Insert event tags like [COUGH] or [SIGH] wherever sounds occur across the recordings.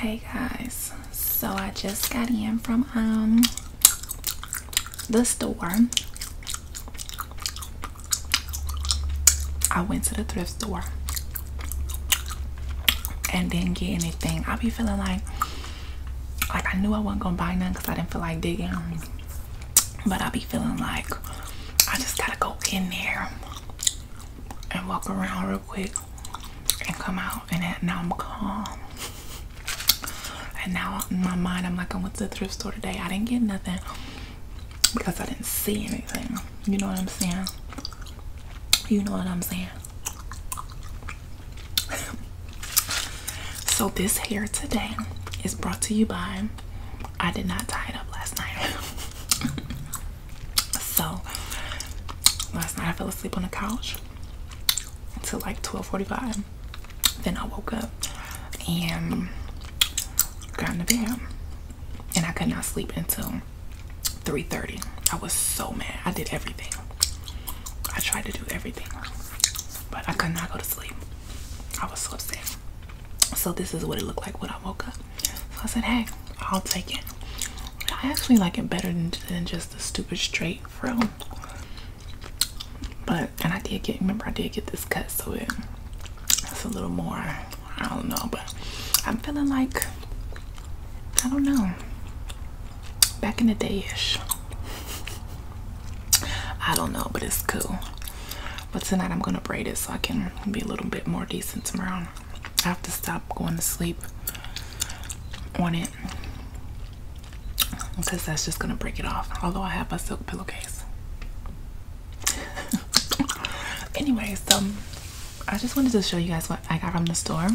Hey guys, so I just got in from um the store. I went to the thrift store and didn't get anything. I be feeling like like I knew I wasn't gonna buy nothing because I didn't feel like digging. But I be feeling like I just gotta go in there and walk around real quick and come out and now I'm calm. And now in my mind I'm like I went to the thrift store today. I didn't get nothing because I didn't see anything. You know what I'm saying? You know what I'm saying? [LAUGHS] so this hair today is brought to you by I did not tie it up last night. [LAUGHS] So last night I fell asleep on the couch until like 12:45. Then I woke up and got in the bed, and I could not sleep until 3:30. I was so mad. I did everything. I tried to do everything, but I could not go to sleep. I was so upset. So this is what it looked like when I woke up. I said, hey, I'll take it. I actually like it better than, than just the stupid straight fro. But and I did get remember I did get this cut so it it's a little more I don't know but I'm feeling like I don't know back in the day ish I don't know but it's cool but tonight I'm gonna braid it so I can be a little bit more decent tomorrow. I have to stop going to sleep on it because that's just gonna break it off. Although I have a silk pillowcase. [LAUGHS] Anyway, so um, I just wanted to show you guys what I got from the store.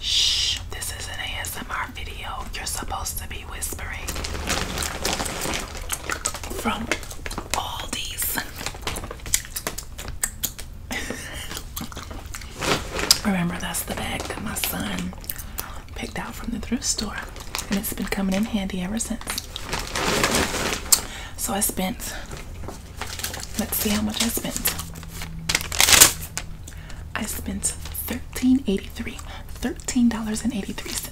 Shh, this is an ASMR video. You're supposed to be whispering from all these. [LAUGHS] Remember, that's the bag that my son picked out from the thrift store, and it's been coming in handy ever since. So I spent, let's see how much I spent. I spent $13.83. $13.83.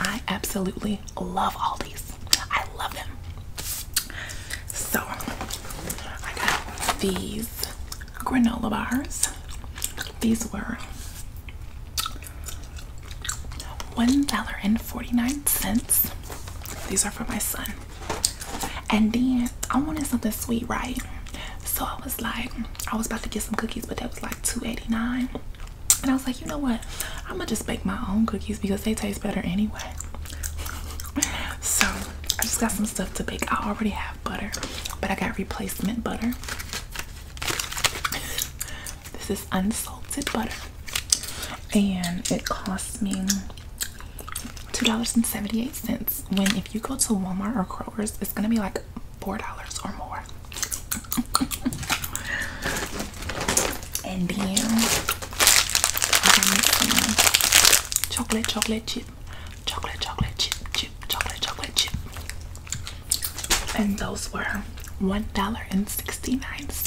I absolutely love all these. I love them. So I got these granola bars. These were $1.49. These are for my son. And then I wanted something sweet, right? So I was like, I was about to get some cookies, but that was like $2.89 and I was like, you know what? I'm gonna just bake my own cookies because they taste better anyway. [LAUGHS] So I just got some stuff to bake. I already have butter, but I got replacement butter. This is unsalted butter, and it cost me $2.78. When if you go to Walmart or Kroger's, it's gonna be like $4 or more and then I'm some chocolate, chocolate chip, chocolate, chocolate chip, chip, chocolate, chocolate chip. And those were $1.69.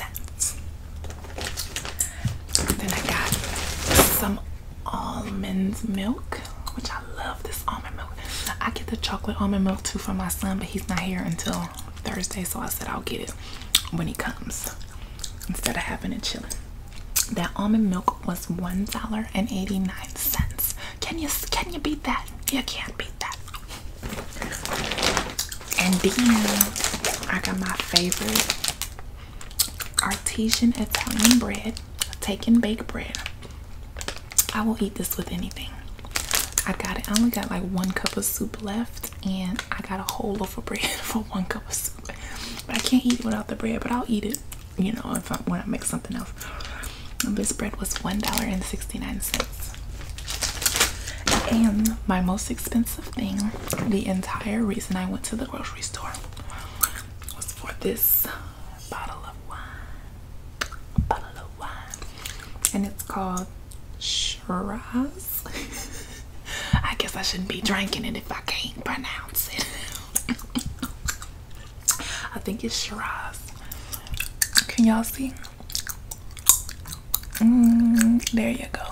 Then I got some almond milk, which I love this almond milk. I get the chocolate almond milk too for my son, but he's not here until Thursday, so I said I'll get it when it comes instead of having it chilling. That almond milk was one dollar and eighty nine cents. Can you can you beat that? You can't beat that. And then I got my favorite artesian Italian bread, taken and bake bread. I will eat this with anything. I got it. I only got like one cup of soup left, and I got a whole loaf of bread [LAUGHS] for one cup of soup. But I can't eat it without the bread, but I'll eat it, you know, if I when I make something else. this bread was $1.69. And my most expensive thing, the entire reason I went to the grocery store was for this bottle of wine bottle of wine, and it's called Shiraz. [LAUGHS] I guess I shouldn't be drinking it if I can't pronounce it. [LAUGHS] I think it's Shiraz. Can y'all see? Mm, there you go.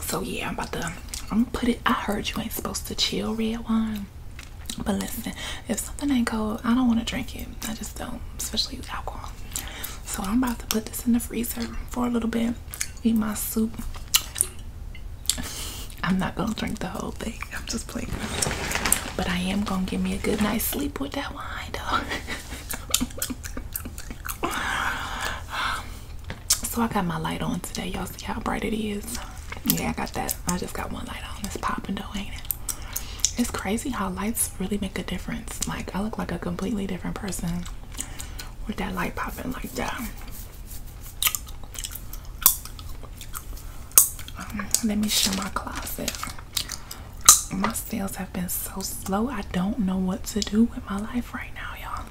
So yeah, I'm about to. I'm gonna put it. I heard you ain't supposed to chill red wine. But listen, if something ain't cold, I don't want to drink it. I just don't, especially with alcohol. So I'm about to put this in the freezer for a little bit. Eat my soup. I'm not gonna drink the whole thing. I'm just playing. But I am gonna give me a good night's sleep with that wine though. [LAUGHS] so I got my light on today. Y'all see how bright it is? Yeah, I got that I just got one light on. It's popping though, ain't it? It's crazy how lights really make a difference. Like I look like a completely different person with that light popping like that. Um, let me show my closet. My sales have been so slow. I don't know what to do with my life right now, y'all.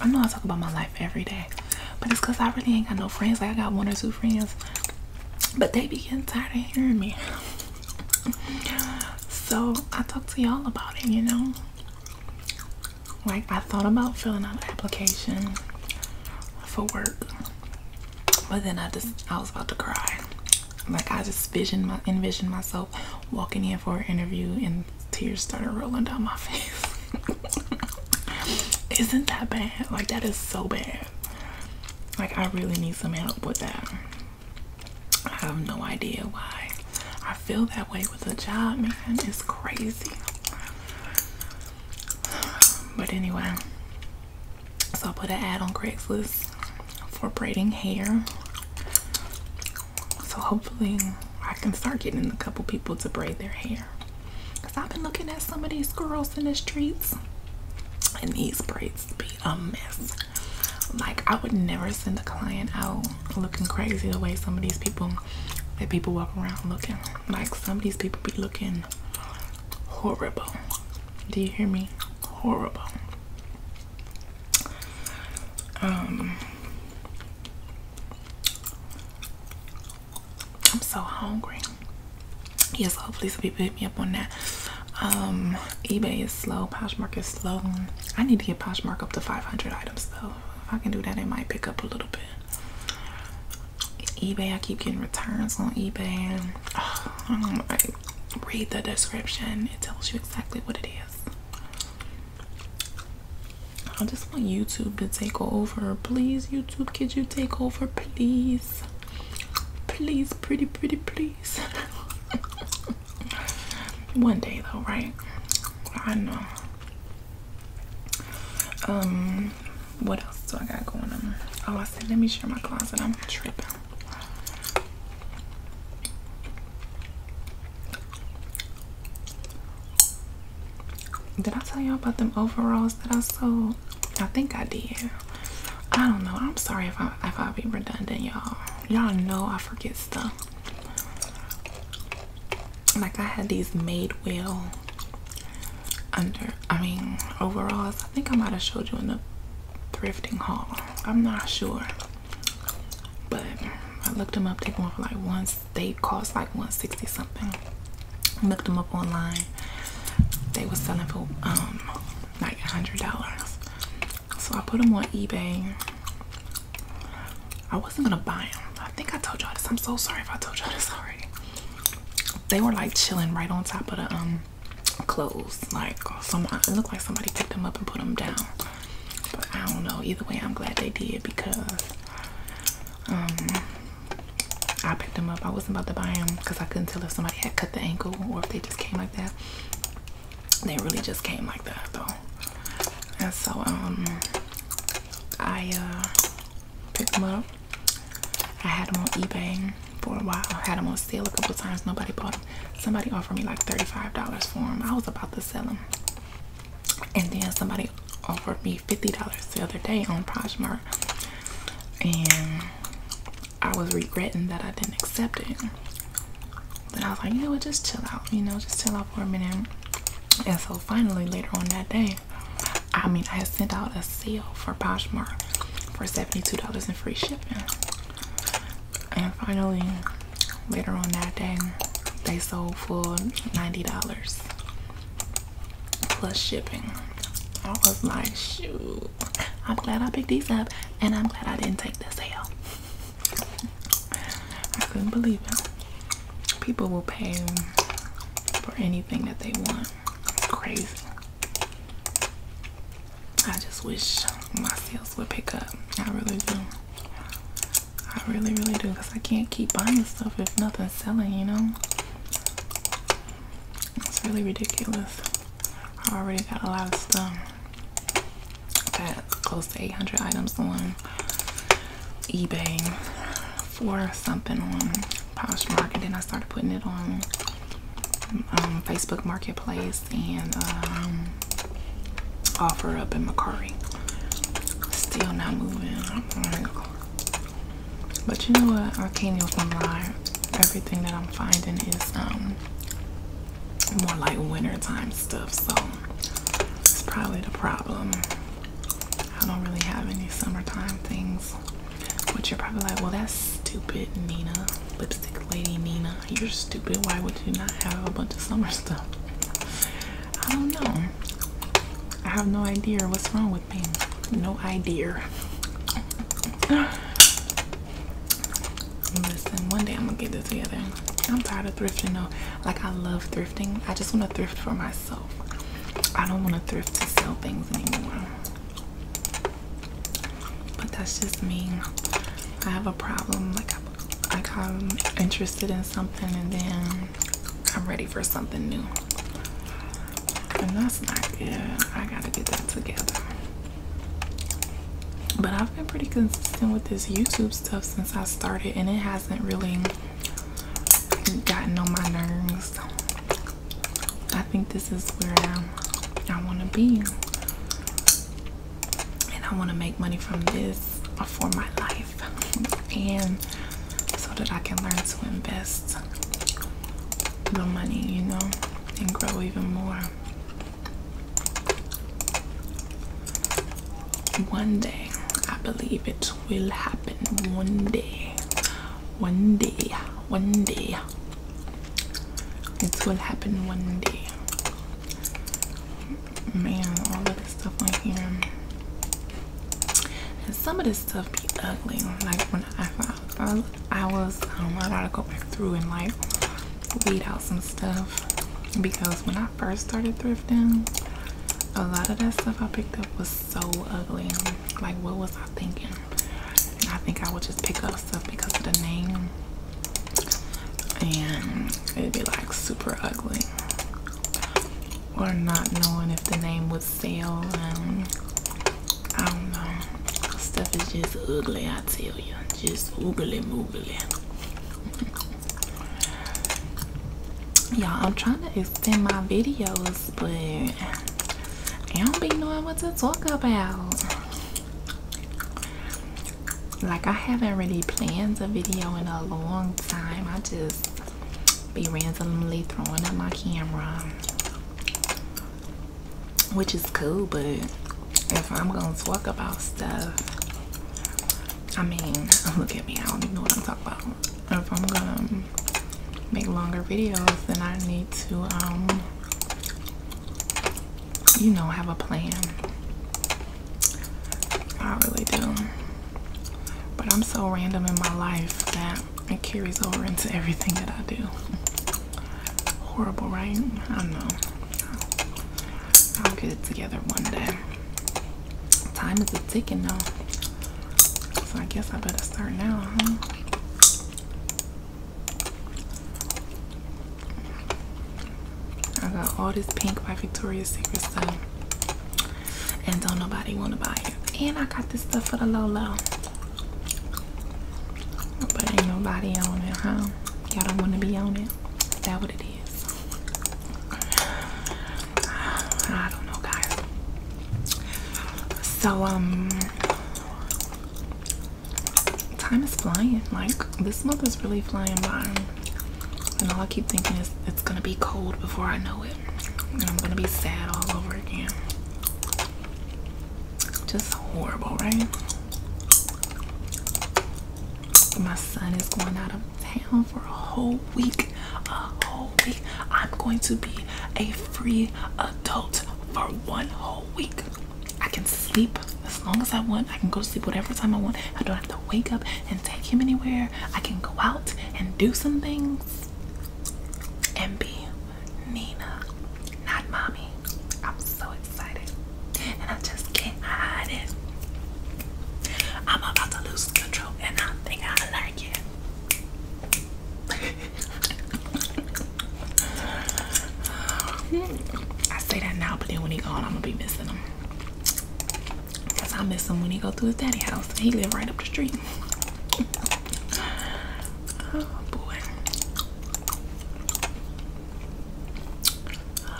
I know I talk about my life every day, but it's because I really ain't got no friends. Like I got one or two friends but they begin getting tired of hearing me. So I talked to y'all about it, you know. Like I thought about filling out an application for work, but then I just I was about to cry. Like I just visioned my envisioned myself walking in for an interview and tears started rolling down my [LAUGHS] face. Isn't that bad? Like that is so bad. Like, I really need some help with that. I have no idea why I feel that way with a job, man. It's crazy. But anyway, so I put an ad on Craigslist for braiding hair. So hopefully, I can start getting a couple people to braid their hair. Cause I've been looking at some of these girls in the streets, and these braids be a mess. Like I would never send a client out looking crazy the way some of these people that people walk around looking. Like some of these people be looking horrible. Do you hear me? Horrible. Um I'm so hungry. Yes, hopefully somebody people hit me up on that. Um, eBay is slow, Poshmark is slow. I need to get Poshmark up to 500 items though. If I can do that, it might pick up a little bit. eBay, I keep getting returns on eBay. [SIGHS] read the description, it tells you exactly what it is. I just want YouTube to take over. Please, YouTube, could you take over? Please please pretty pretty please [LAUGHS] one day though right i know um what else do i got going on oh i said let me share my closet i'm tripping did I tell y'all about them overalls that I sold? I think I did. I don't know. I'm sorry if I if I be redundant, y'all. Y'all know I forget stuff. Like I had these made well under I mean overalls. I think I might have showed you in the thrifting haul. I'm not sure. But I looked them up, they going for like one. they cost like 160 something looked them up online. They were selling for um like a hundred dollars. So I put them on eBay. I wasn't gonna buy them. I think I told y'all this. I'm so sorry if I told y'all this already. They were like chilling right on top of the um clothes. Like some, it looked like somebody picked them up and put them down. But I don't know. Either way, I'm glad they did because um I picked them up. I wasn't about to buy them because I couldn't tell if somebody had cut the ankle or if they just came like that. They really just came like that though. And so um I uh, picked them up. I had them on eBay for a while. I had them on sale a couple times. Nobody bought them. Somebody offered me like $35 for them. I was about to sell them. And then somebody offered me $50 the other day on Poshmark and I was regretting that I didn't accept it. But I was like, you know what, just chill out, you know, just chill out for a minute. And so finally later on that day, I mean I had sent out a sale for Poshmark for $72 in free shipping. And finally later on that day they sold for $90 plus shipping. That was my shoe. I'm glad I picked these up and I'm glad I didn't take the sale. I couldn't believe it. People will pay for anything that they want. It's crazy. I just wish my sales would pick up. I really do. I really, really do because I can't keep buying stuff if nothing's selling, you know? It's really ridiculous. I already got a lot of stuff. Got close to 800 items on eBay for something on Poshmark, and then I started putting it on um, Facebook Marketplace and um, offer up in Macari. Still not moving. But you know what? Arcanial from Lar, everything that I'm finding is um more like wintertime stuff, so it's probably the problem. I don't really have any summertime things. Which you're probably like, well, that's stupid, Nina. Lipstick lady Nina. You're stupid. Why would you not have a bunch of summer [LAUGHS] stuff? I don't know. I have no idea what's wrong with me. No idea. Listen, one day I'm gonna get this together. I'm tired of thrifting though. Like I love thrifting. I just wanna thrift for myself. I don't wanna thrift to sell things anymore. But that's just me. I have a problem. Like I'm, like I'm interested in something and then I'm ready for something new. And that's not good. I gotta get that together. But I've been pretty consistent with this YouTube stuff since I started, and it hasn't really gotten on my nerves. I think this is where I, I want to be. And I want to make money from this for my life and so that I can learn to invest the money, you know, and grow even more. One day, I believe it will happen. One day, one day, one day, it will happen one day man all of this stuff on here and some of this stuff be ugly like when i found i was um, i gotta go back through and like weed out some stuff because when i first started thrifting a lot of that stuff i picked up was so ugly like what was i thinking i think i would just pick up stuff because of the name and it'd be like super ugly or not knowing if the name would sell. Um, I don't know. Stuff is just ugly, I tell you. Just oogly moogly. [LAUGHS] Y'all, I'm trying to extend my videos, but I don't be knowing what to talk about. Like, I haven't really planned a video in a long time. I just be randomly throwing at my camera, which is cool. But if I'm gonna talk about stuff, I mean, [LAUGHS] look at me, I don't even know what I'm talking about. If I'm gonna make longer videos, then I need to, um, you know, have a plan. I really do. But I'm so random in my life that it carries over into everything that I do. [LAUGHS] Horrible, right? I don't know. I'll get it together one day. Time is a ticking though. So I guess I better start now, huh? I got all this pink by Victoria's Secret stuff. And don't nobody want to buy it. And I got this stuff for the low low. But ain't nobody on it, huh? Y'all don't want to be on it. Is that what it is? [SIGHS] I don't know, guys. So, um, time is flying. Like, this month is really flying by. And all I keep thinking is it's gonna be cold before I know it. And I'm gonna be sad all over again. Just horrible, right? My son is going out of town for a whole week. A whole week. I'm going to be a free adult for one whole week. I can sleep as long as I want. I can go sleep whatever time I want. I don't have to wake up and take him anywhere. I can go out and do some things and be Nina, not mommy. I'm so excited. And I just can't hide it. I'm about to lose control and I think I like it. [LAUGHS] I say that now, but then when he gone, I'm gonna be missing him. Cause I miss him when he go to his daddy house. He live right up the street. oh boy.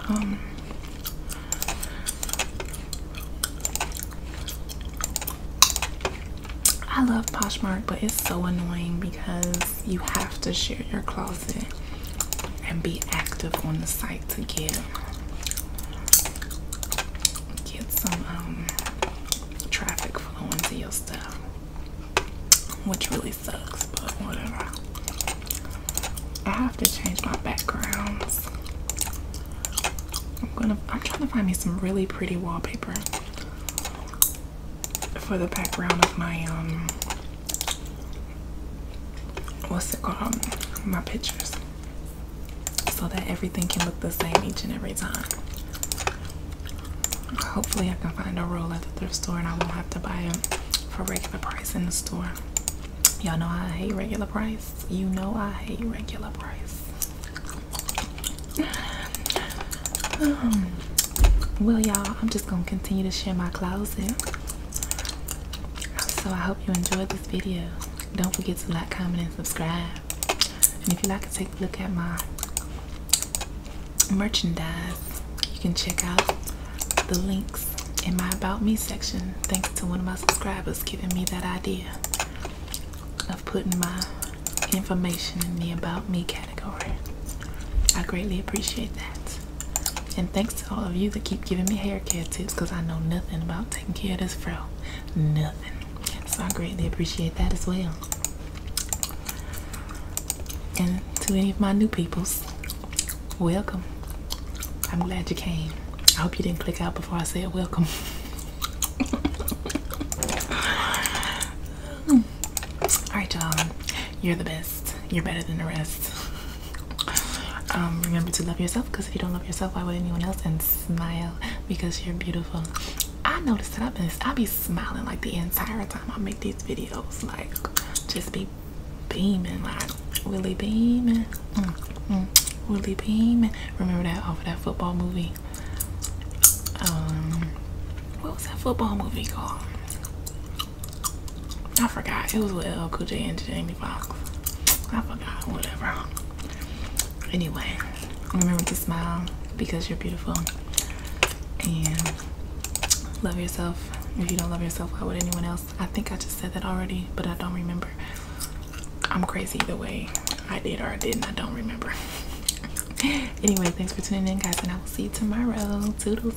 Um. I love Poshmark, but it's so annoying because you have to share your closet and be active on the site to get get some um, traffic flowing to your stuff, which really sucks, but whatever. I have to change my background. I'm gonna. I'm trying to find me some really pretty wallpaper for the background of my um what's it called? My pictures. So that everything can look the same each and every time. Hopefully I can find a roll at the thrift store and I won't have to buy it for regular price in the store. Y'all know I hate regular price. You know I hate regular price. [SIGHS] Um, well y'all, I'm just gonna continue to share my closet. So I hope you enjoyed this video. Don't forget to like, comment, and subscribe. And if you like to take a look at my merchandise, you can check out the links in my About Me section. Thanks to one of my subscribers giving me that idea of putting my information in the About Me category. I greatly appreciate that. And thanks to all of you that keep giving me hair care tips because I know nothing about taking care of this fro. Nothing. So I greatly appreciate that as well. And to any of my new peoples, welcome. I'm glad you came. I hope you didn't click out before I said welcome. [LAUGHS] All right, y'all. You're the best. You're better than the rest. Um, remember to love yourself because if you don't love yourself, why would anyone else? And smile because you're beautiful. I noticed that I've been I be smiling like the entire time I make these videos. Like just be beaming, like really beaming. Mm, mm, really beaming. Remember that off of that football movie? Um what was that football movie called? I forgot it was with LL uh, Cool and Jamie Fox. I forgot, whatever. Anyway, remember to smile because you're beautiful and love yourself. If you don't love yourself, how would anyone else? I think I just said that already, but I don't remember. I'm crazy the way. I did or I didn't. I don't remember. [LAUGHS] anyway, thanks for tuning in, guys, and I will see you tomorrow. Toodles.